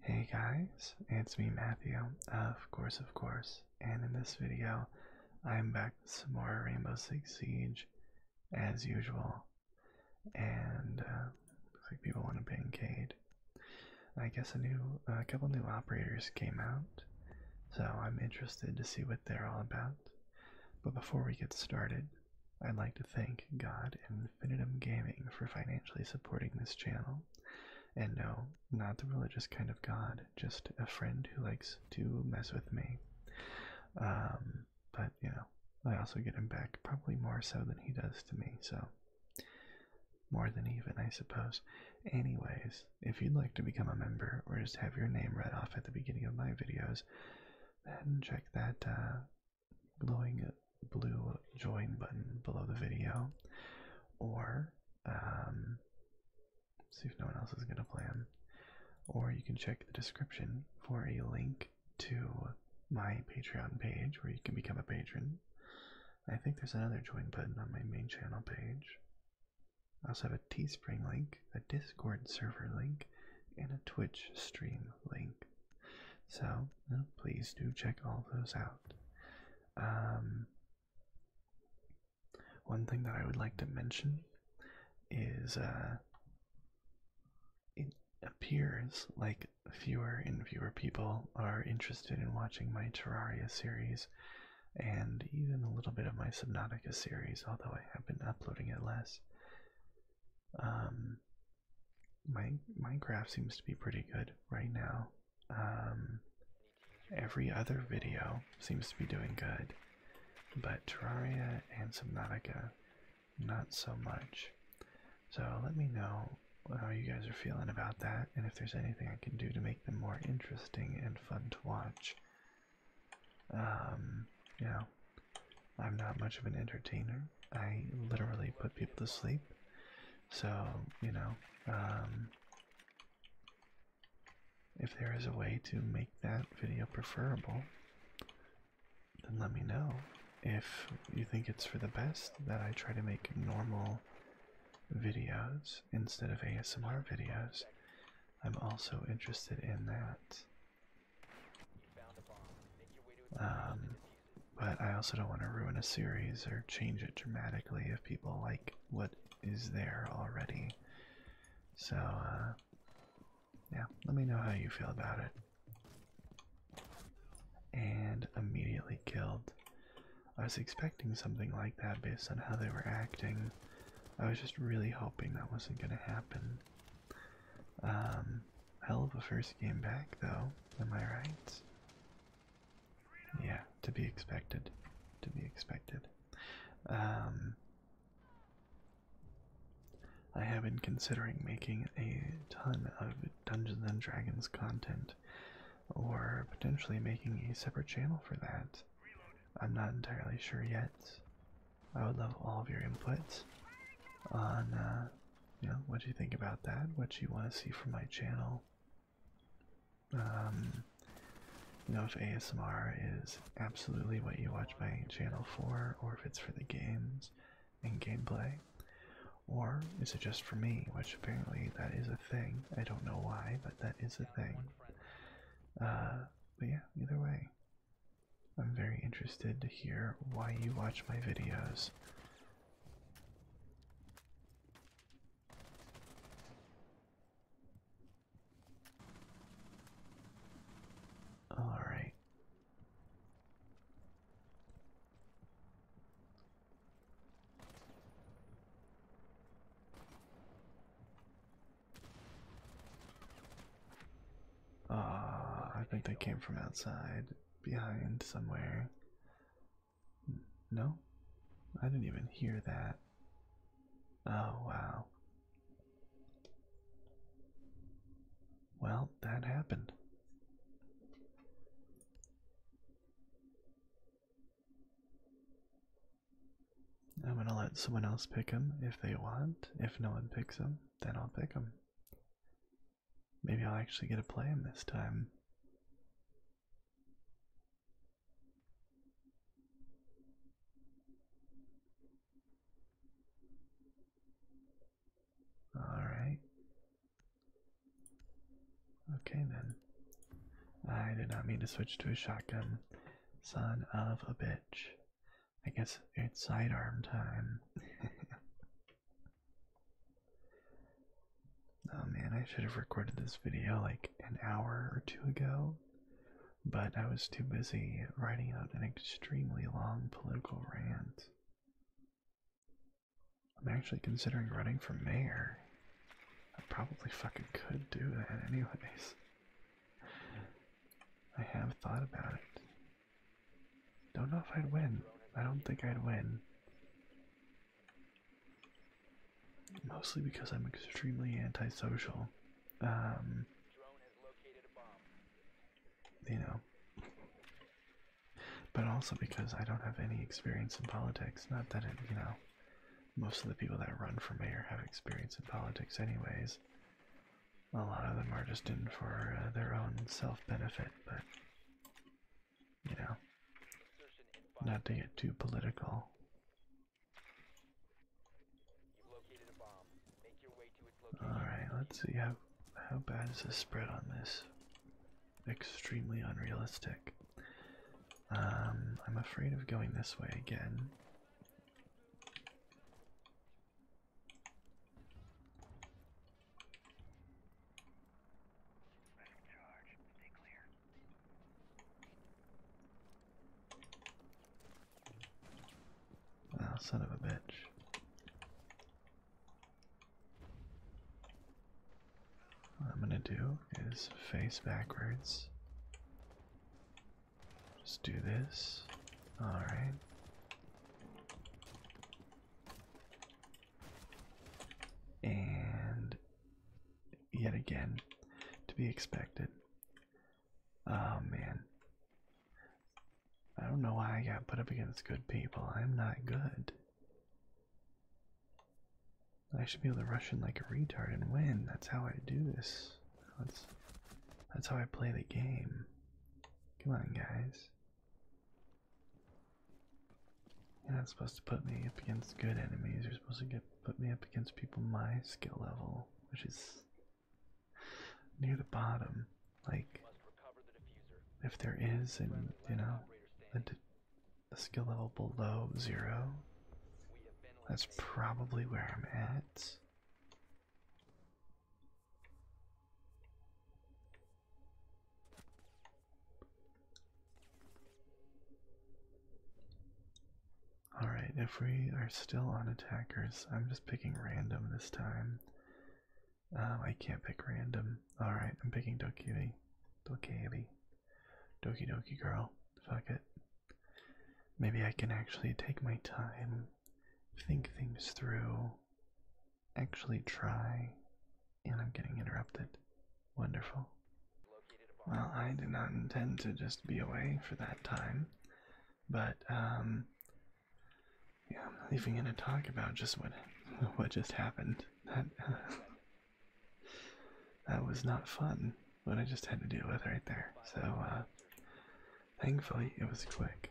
Hey guys, it's me Matthew, of course of course, and in this video I'm back with some more Rainbow Six Siege as usual. And uh, looks like people want a bancade. I guess a new a couple new operators came out, so I'm interested to see what they're all about. But before we get started, I'd like to thank God and Infinitum Gaming for financially supporting this channel. And no, not the religious kind of god, just a friend who likes to mess with me. Um, but, you know, I also get him back probably more so than he does to me, so more than even, I suppose. Anyways, if you'd like to become a member or just have your name read off at the beginning of my videos, then check that uh, blowing a blue join button below the video, or um, see if no one else is going to plan. Or you can check the description for a link to my Patreon page where you can become a patron. I think there's another join button on my main channel page. I also have a Teespring link, a Discord server link, and a Twitch stream link. So please do check all those out. Um, one thing that I would like to mention is uh, it appears like fewer and fewer people are interested in watching my Terraria series and even a little bit of my Subnautica series, although I have been uploading it less. Um, my Minecraft seems to be pretty good right now. Um, every other video seems to be doing good, but Terraria and Subnautica, not so much. So let me know how you guys are feeling about that, and if there's anything I can do to make them more interesting and fun to watch. Um, you know, I'm not much of an entertainer, I literally put people to sleep. So, you know, um, if there is a way to make that video preferable, then let me know. If you think it's for the best that I try to make normal videos instead of ASMR videos, I'm also interested in that. But I also don't want to ruin a series or change it dramatically if people like what is there already. So, uh, yeah, let me know how you feel about it. And immediately killed. I was expecting something like that based on how they were acting. I was just really hoping that wasn't going to happen. Um, hell of a first game back, though, am I right? Yeah, to be expected. To be expected. Um, I have been considering making a ton of Dungeons and Dragons content, or potentially making a separate channel for that. I'm not entirely sure yet. I would love all of your input on uh, you what do you think about that? What do you want to see from my channel? Um, you know if ASMR is absolutely what you watch my channel for, or if it's for the games and gameplay, or is it just for me? Which apparently that is a thing. I don't know why, but that is a thing. Uh, but yeah, either way, I'm very interested to hear why you watch my videos. All right. Ah, I think they came from outside, behind somewhere. No? I didn't even hear that. Oh, wow. Well, that happened. I'm gonna let someone else pick him if they want. If no one picks him, then I'll pick him. Maybe I'll actually get to play him this time. Alright. Okay then. I did not mean to switch to a shotgun. Son of a bitch. I guess it's sidearm time. Oh man, I should have recorded this video like an hour or two ago, but I was too busy writing out an extremely long political rant. I'm actually considering running for mayor. I probably fucking could do that anyways. I have thought about it. Don't know if I'd win. I don't think I'd win. Mostly because I'm extremely antisocial. Um, you know. But also because I don't have any experience in politics. Not that, it, you know, most of the people that run for mayor have experience in politics, anyways. A lot of them are just in for uh, their own self benefit, but you know, not to get too political. Alright, let's see how, how bad is the spread on this. Extremely unrealistic. Um, I'm afraid of going this way again. Ah, son of a bitch. What I'm going to do is face backwards. Just do this. Alright and yet again to be expected. Oh man. I don't know why I got put up against good people. I'm not good. I should be able to rush in like a retard and win. That's how I do this. That's that's how I play the game. Come on, guys. You're not supposed to put me up against good enemies. You're supposed to get put me up against people my skill level, which is near the bottom. Like, if there is, and you know, a, a skill level below zero, that's probably where I'm at. Alright, if we are still on attackers, I'm just picking random this time. Um, I can't pick random. Alright, I'm picking Doki Doki, Doki Doki Girl. Fuck it. Maybe I can actually take my time, think things through, actually try. And I'm getting interrupted. Wonderful. Well, I did not intend to just be away for that time, but um, yeah, I'm not even going to talk about just what what just happened. That that was not fun. What I just had to deal with right there. So, uh, thankfully, it was quick.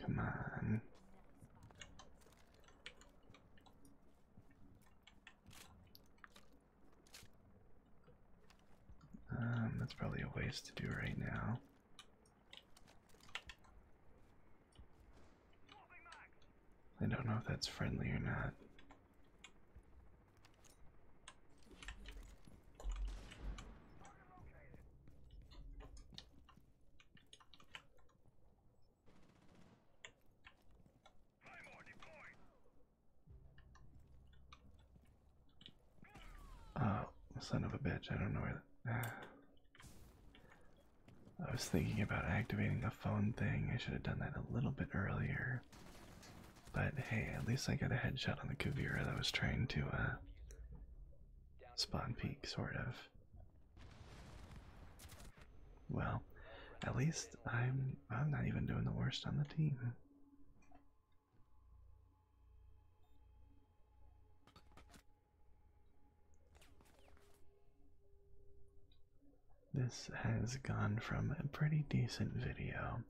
Come on. Um, that's probably a waste to do right now. I don't know if that's friendly or not. Oh, son of a bitch, I don't know where. Ah. I was thinking about activating the phone thing. I should have done that a little bit earlier. But hey, at least I got a headshot on the Kuvira that was trying to uh, Spawn peak, sort of. Well, at least I'm I'm not even doing the worst on the team. This has gone from a pretty decent video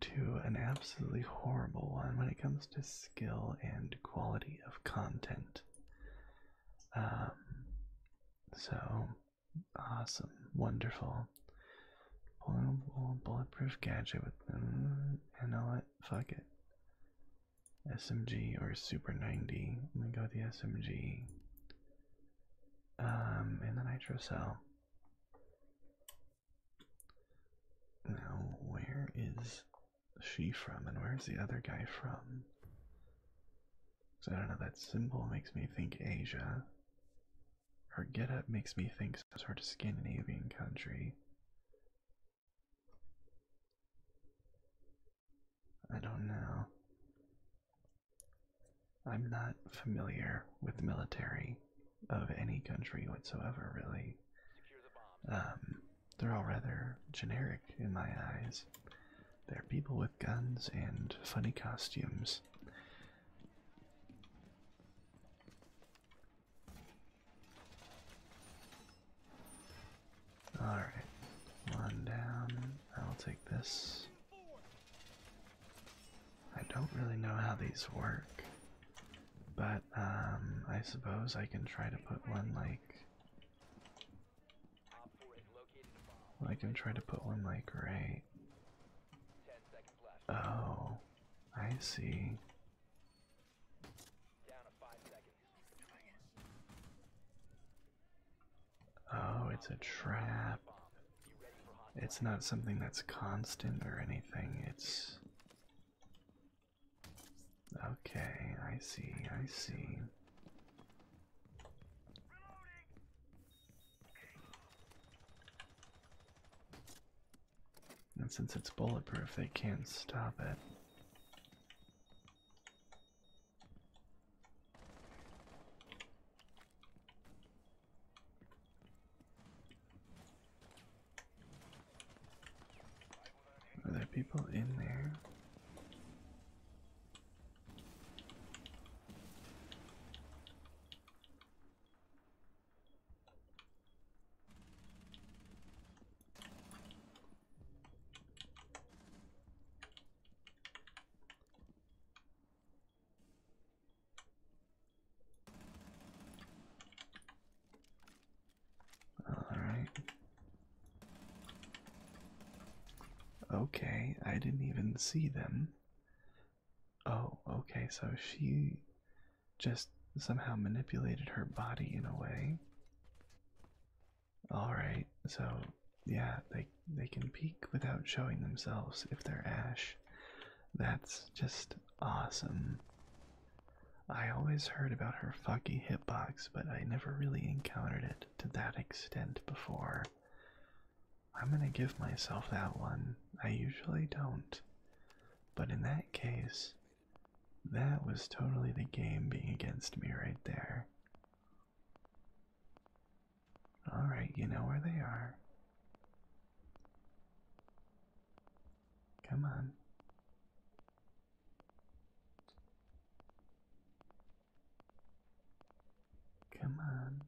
to an absolutely horrible one when it comes to skill and quality of content. Um, so awesome, wonderful. Vulnerable bulletproof gadget with mm, You know what? Fuck it. SMG or Super 90. Let me go with the SMG. Um, and the nitro cell. Now, where is she from and where's the other guy from? So I don't know, that symbol makes me think Asia. Her getup makes me think some sort of Scandinavian country. I don't know. I'm not familiar with military of any country whatsoever, really. Um, they're all rather generic in my eyes. They're people with guns and funny costumes. Alright, one down. I'll take this. I don't really know how these work. But um, I suppose I can try to put one like I can try to put one like right. Oh, I see. Oh, it's a trap. It's not something that's constant or anything. It's Okay, I see, I see. And since it's bulletproof, they can't stop it. Are there people in there? Alright. Okay, I didn't even see them. Oh, okay, so she just somehow manipulated her body in a way. Alright, so yeah, they they can peek without showing themselves if they're ash. That's just awesome. I always heard about her fucky hitbox, but I never really encountered it to that extent before. I'm gonna give myself that one. I usually don't. But in that case, that was totally the game being against me right there. Alright, you know where they are. Come on. Come on.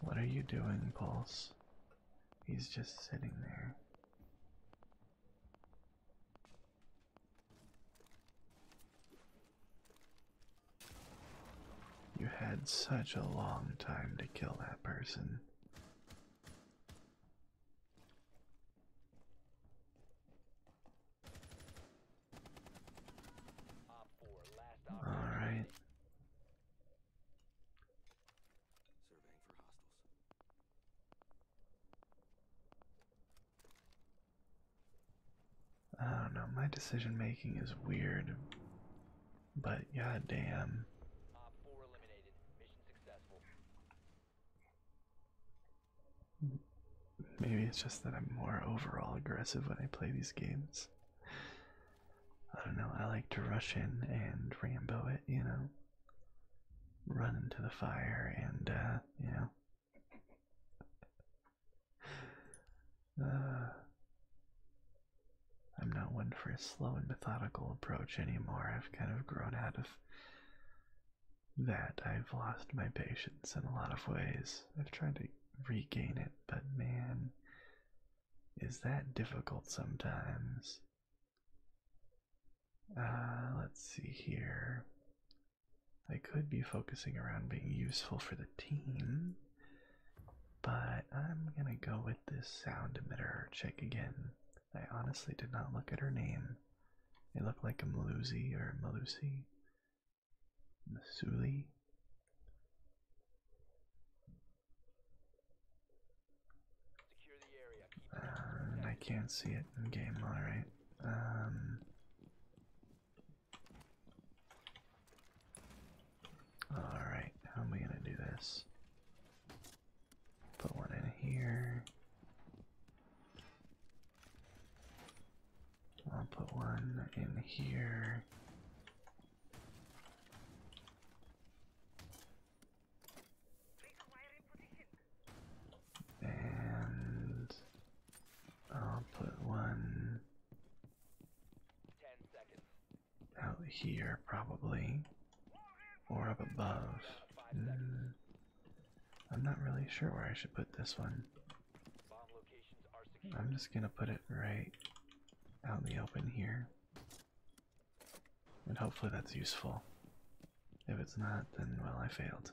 What are you doing, Pulse? He's just sitting there. You had such a long time to kill that person. Alright. I don't know, my decision making is weird. But goddamn. damn. Maybe it's just that I'm more overall aggressive when I play these games. I don't know, I like to rush in and Rambo it, you know. Run into the fire and, uh, you know. Uh, I'm not one for a slow and methodical approach anymore. I've kind of grown out of that. I've lost my patience in a lot of ways. I've tried to regain it, but man, is that difficult sometimes. Uh, let's see here. I could be focusing around being useful for the team, but I'm gonna go with this sound emitter check again. I honestly did not look at her name. It looked like a Malusi or Malusi. Masuli. Um, I can't see it in game, alright. Um, alright, how am I gonna do this? Put one in here. I'll put one in here. And I'll put one out here probably or up above hmm. i'm not really sure where i should put this one i'm just gonna put it right out in the open here and hopefully that's useful if it's not then well i failed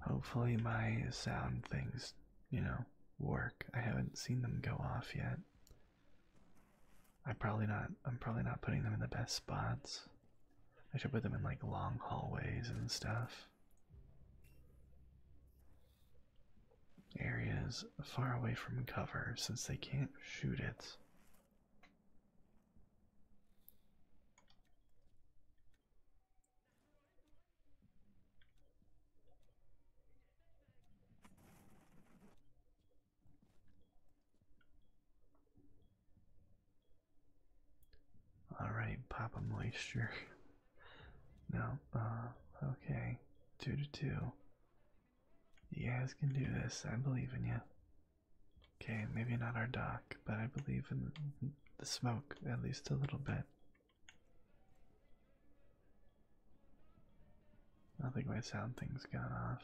Hopefully, my sound things, you know, work. I haven't seen them go off yet. I am probably not. I'm probably not putting them in the best spots. I should put them in like long hallways and stuff. Areas far away from cover since they can't shoot it. All right, Papa Moisture. no, uh, okay, two to two. You guys can do this. I believe in you. Okay, maybe not our doc, but I believe in the smoke at least a little bit. I think my sound thing's gone off.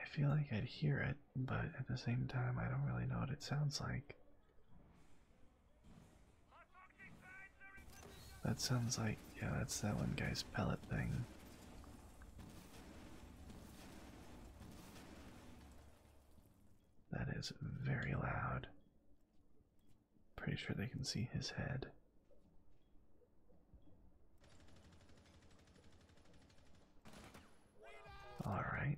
I feel like I'd hear it, but at the same time, I don't really know what it sounds like. That sounds like, yeah, that's that one guy's pellet thing. That is very loud. Pretty sure they can see his head. All right.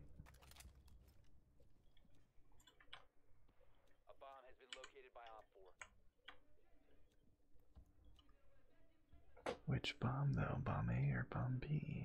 Which bomb though? Bomb A or bomb B?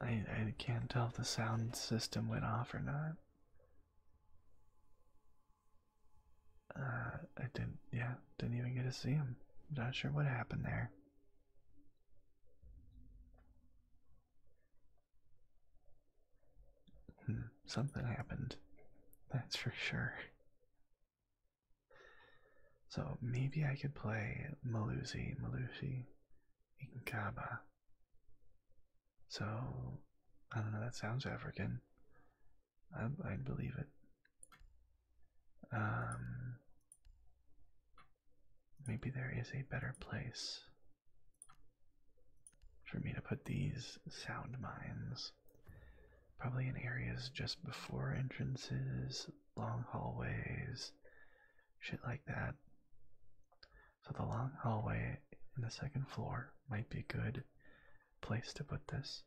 I, I can't tell if the sound system went off or not. Uh, I didn't, yeah, didn't even get to see him. Not sure what happened there. Hmm, something happened. That's for sure. So maybe I could play Malusi, Malusi, Inkaba. So I don't know. That sounds African. I, would believe it. Um, maybe there is a better place for me to put these sound mines probably in areas just before entrances, long hallways, shit like that. So the long hallway in the second floor might be a good place to put this.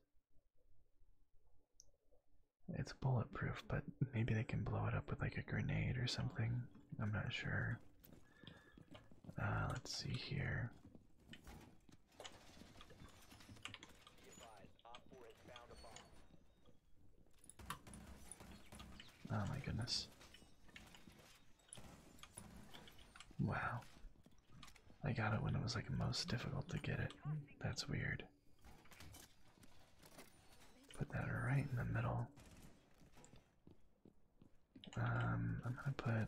It's bulletproof, but maybe they can blow it up with like a grenade or something. I'm not sure. Uh, let's see here. Oh my goodness. Wow. I got it when it was like most difficult to get it. That's weird. Put that right in the middle. Um, I'm gonna put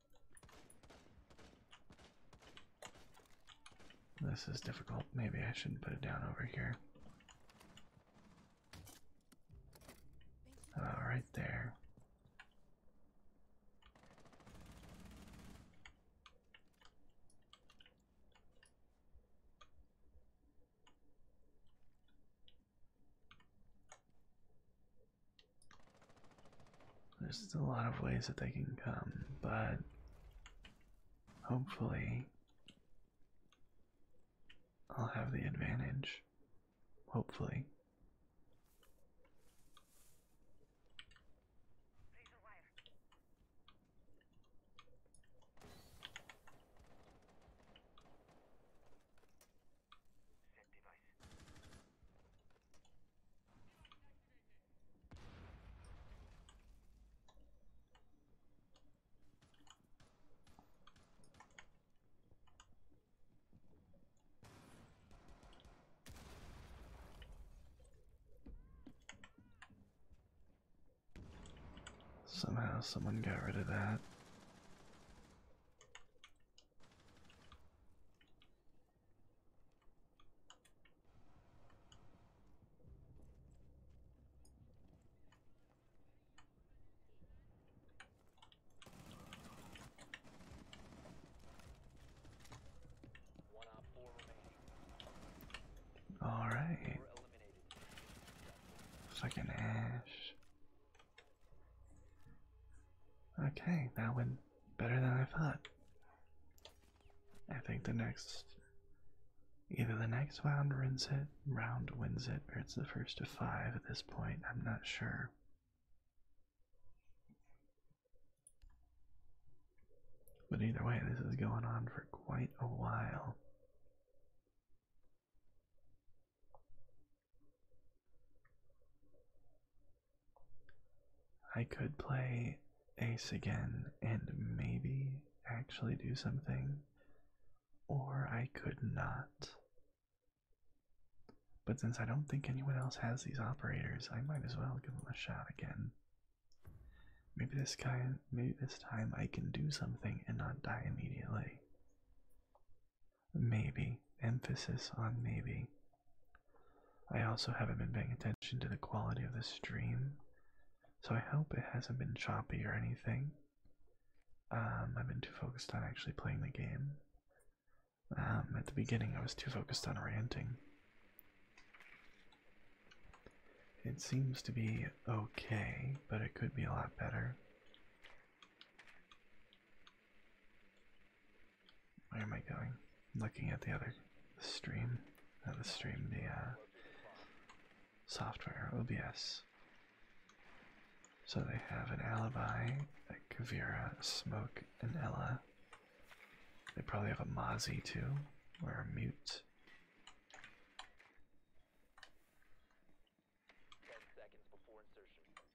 This is difficult. Maybe I should put it down over here. All uh, right, there. There's a lot of ways that they can come, but hopefully I'll have the advantage. Hopefully. Somehow someone got rid of that. All right. Second ash. Okay, that would better than I thought. I think the next, either the next round wins it, round wins it, or it's the first of five at this point. I'm not sure. But either way, this is going on for quite a while. I could play Ace again and maybe actually do something, or I could not. But since I don't think anyone else has these operators, I might as well give them a shot again. Maybe this kind, maybe this time I can do something and not die immediately. Maybe emphasis on maybe. I also haven't been paying attention to the quality of the stream, so I hope it hasn't been choppy or anything. Um, I've been too focused on actually playing the game. Um, at the beginning, I was too focused on ranting. It seems to be okay, but it could be a lot better. Where am I going? looking at the other stream. Not uh, the stream, via uh, software, OBS. So they have an alibi, a Kavira, Smoke, and Ella. They probably have a Mozzie too, or a Mute.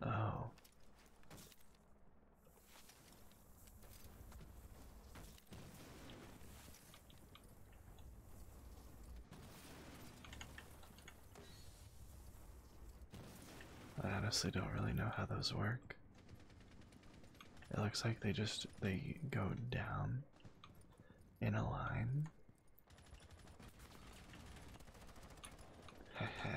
Oh. I honestly don't really know how those work. It looks like they just they go down in a line.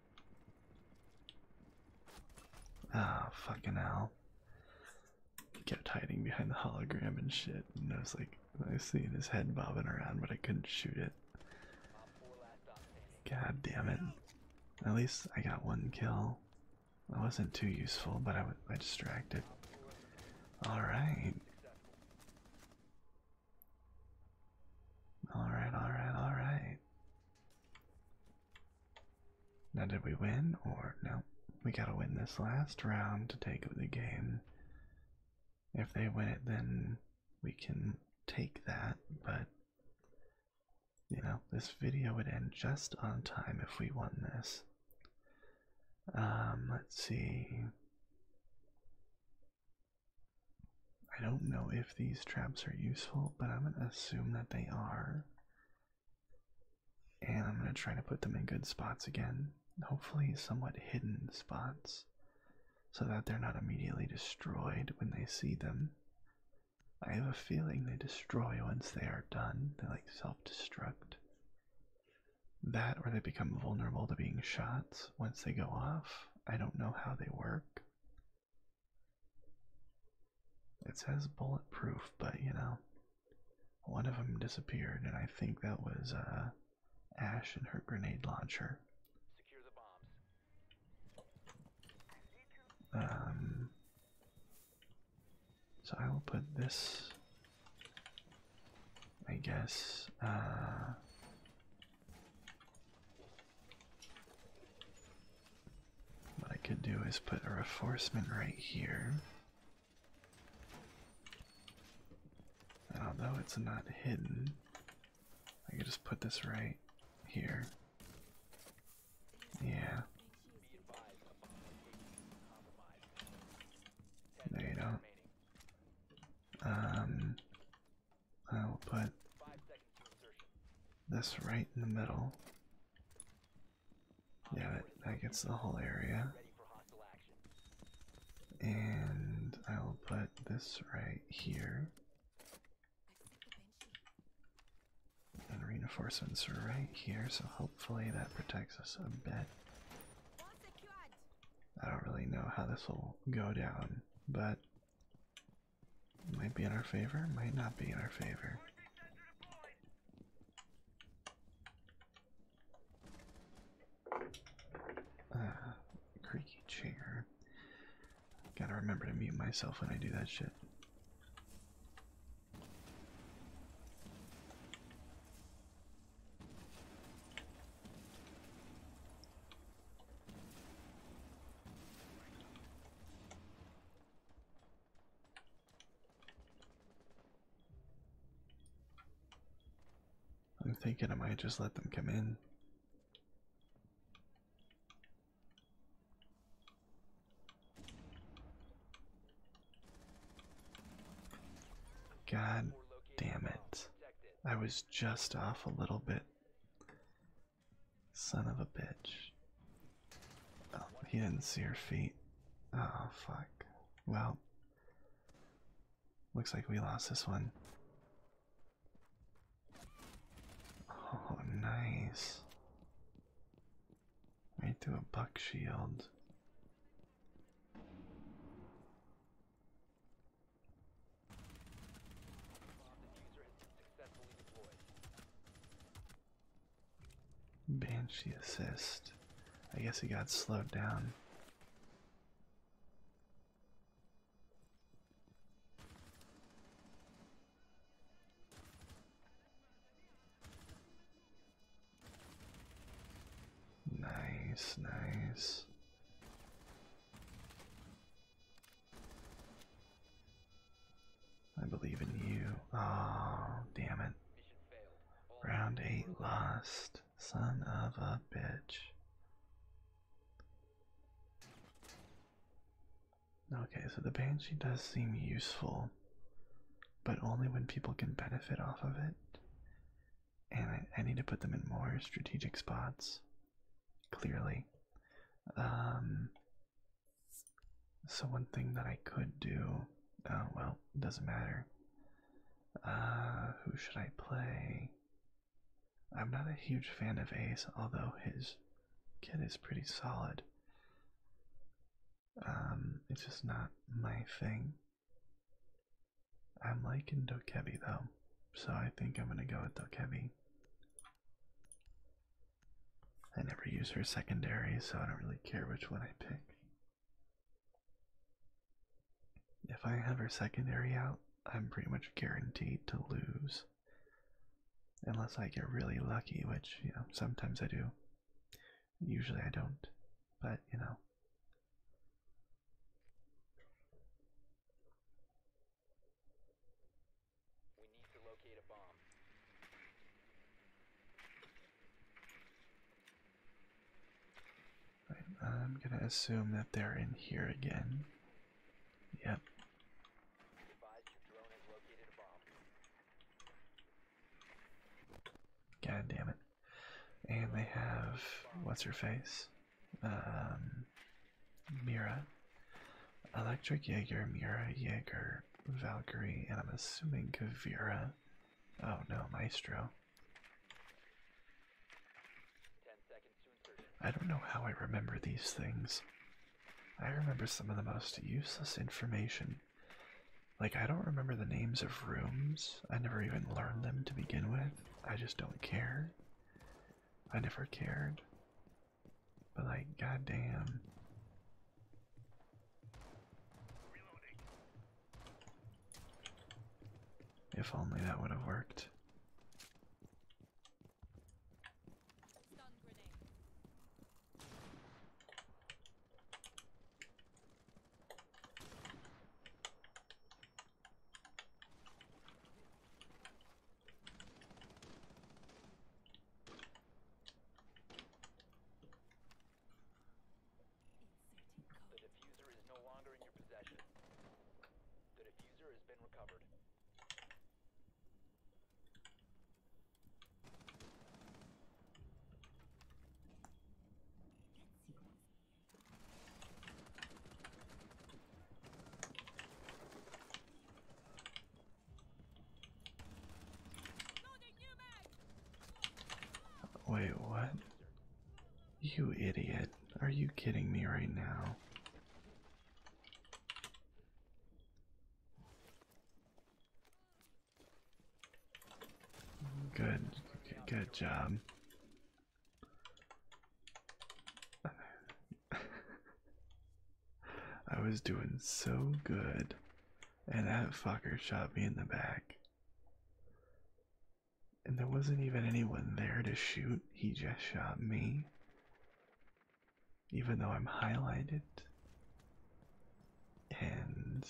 Ah, oh, fucking hell. He kept hiding behind the hologram and shit, and I was like, I see his head bobbing around, but I couldn't shoot it. God damn it. At least I got one kill. I wasn't too useful, but I, I distracted. Alright. Alright, alright, alright. Now, did we win or no? We gotta win this last round to take the game. If they win it, then we can take that, but you know, this video would end just on time if we won this. Um, let's see. I don't know if these traps are useful, but I'm going to assume that they are. And I'm going to try to put them in good spots again, hopefully, somewhat hidden spots, so that they're not immediately destroyed when they see them. I have a feeling they destroy once they are done, they like self destruct. That or they become vulnerable to being shot once they go off. I don't know how they work. It says bulletproof, but you know, one of them disappeared, and I think that was uh, Ash and her grenade launcher. Um. So I will put this. I guess. Uh, what I could do is put a reinforcement right here. although it's not hidden, I could just put this right here. Yeah. No, you don't. Um, I will put this right in the middle. Yeah, that, gets the whole area. And I will put this right here. And reinforcements are right here, so hopefully that protects us a bit. I don't really know how this will go down, but might be in our favor, might not be in our favor. Ah, creaky chair. Gotta remember to mute myself when I do that shit. I'm thinking I might just let them come in. God damn it. I was just off a little bit. Son of a bitch. Oh, he didn't see her feet. Oh, fuck. Well, looks like we lost this one. Oh, nice. Right through a buck shield successfully assist. I guess he got slowed down. Nice, nice. I believe in you. Oh, damn it. Round 8 lost. Son of a bitch. Okay, so the Banshee does seem useful, but only when people can benefit off of it. And I, I need to put them in more strategic spots clearly. Um, so one thing that I could do, uh, well, doesn't matter. Uh, who should I play? I'm not a huge fan of Ace, although his kit is pretty solid. Um, it's just not my thing. I'm liking Dokebi though, so I think I'm gonna go with Dokebi. I never use her secondary, so I don't really care which one I pick. If I have her secondary out, I'm pretty much guaranteed to lose. Unless I get really lucky, which, you know, sometimes I do. Usually I don't, but, you know. We need to locate a bomb. I'm gonna assume that they're in here again. Yep. God damn it. And they have what's her face? Um, Mira. Electric Jaeger, Mira, Jaeger, Valkyrie, and I'm assuming Kavira. Oh no, Maestro. I don't know how I remember these things. I remember some of the most useless information. Like, I don't remember the names of rooms. I never even learned them to begin with. I just don't care. I never cared. But like, goddamn. If only that would have worked. The diffuser is no longer in your possession. The diffuser has been recovered. Wait, what? You idiot. Are you kidding me right now? Good, good job. I was doing so good, and that fucker shot me in the back. And there wasn't even anyone there to shoot, he just shot me. Even though I'm highlighted. And,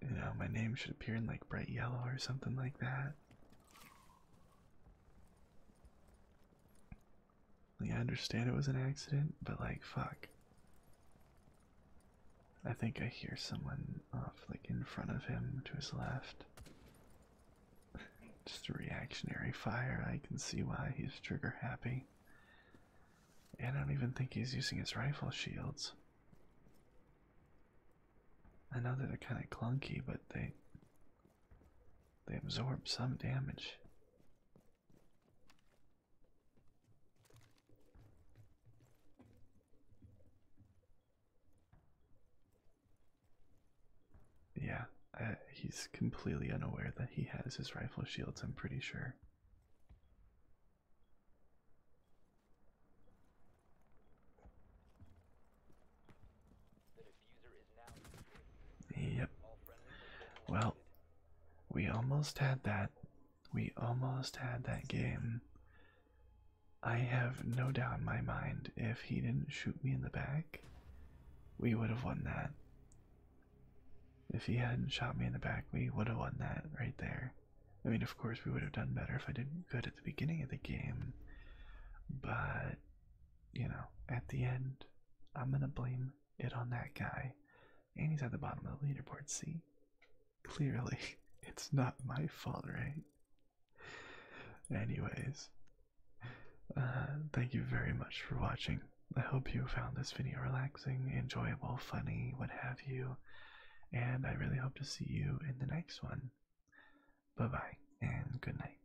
you know, my name should appear in like bright yellow or something like that. Like, I understand it was an accident, but like, fuck. I think I hear someone off, like, in front of him to his left. Just a reactionary fire. I can see why he's trigger happy. And I don't even think he's using his rifle shields. I know that they're kind of clunky, but they they absorb some damage. Yeah, uh, he's completely unaware that he has his rifle shields, I'm pretty sure. Yep. Well, we almost had that. We almost had that game. I have no doubt in my mind if he didn't shoot me in the back, we would have won that. If he hadn't shot me in the back, we would have won that right there. I mean, of course, we would have done better if I did good at the beginning of the game, but you know, at the end, I'm gonna blame it on that guy. And he's at the bottom of the leaderboard, see? Clearly, it's not my fault, right? Anyways, uh, thank you very much for watching. I hope you found this video relaxing, enjoyable, funny, what have you. And I really hope to see you in the next one. Bye bye, and good night.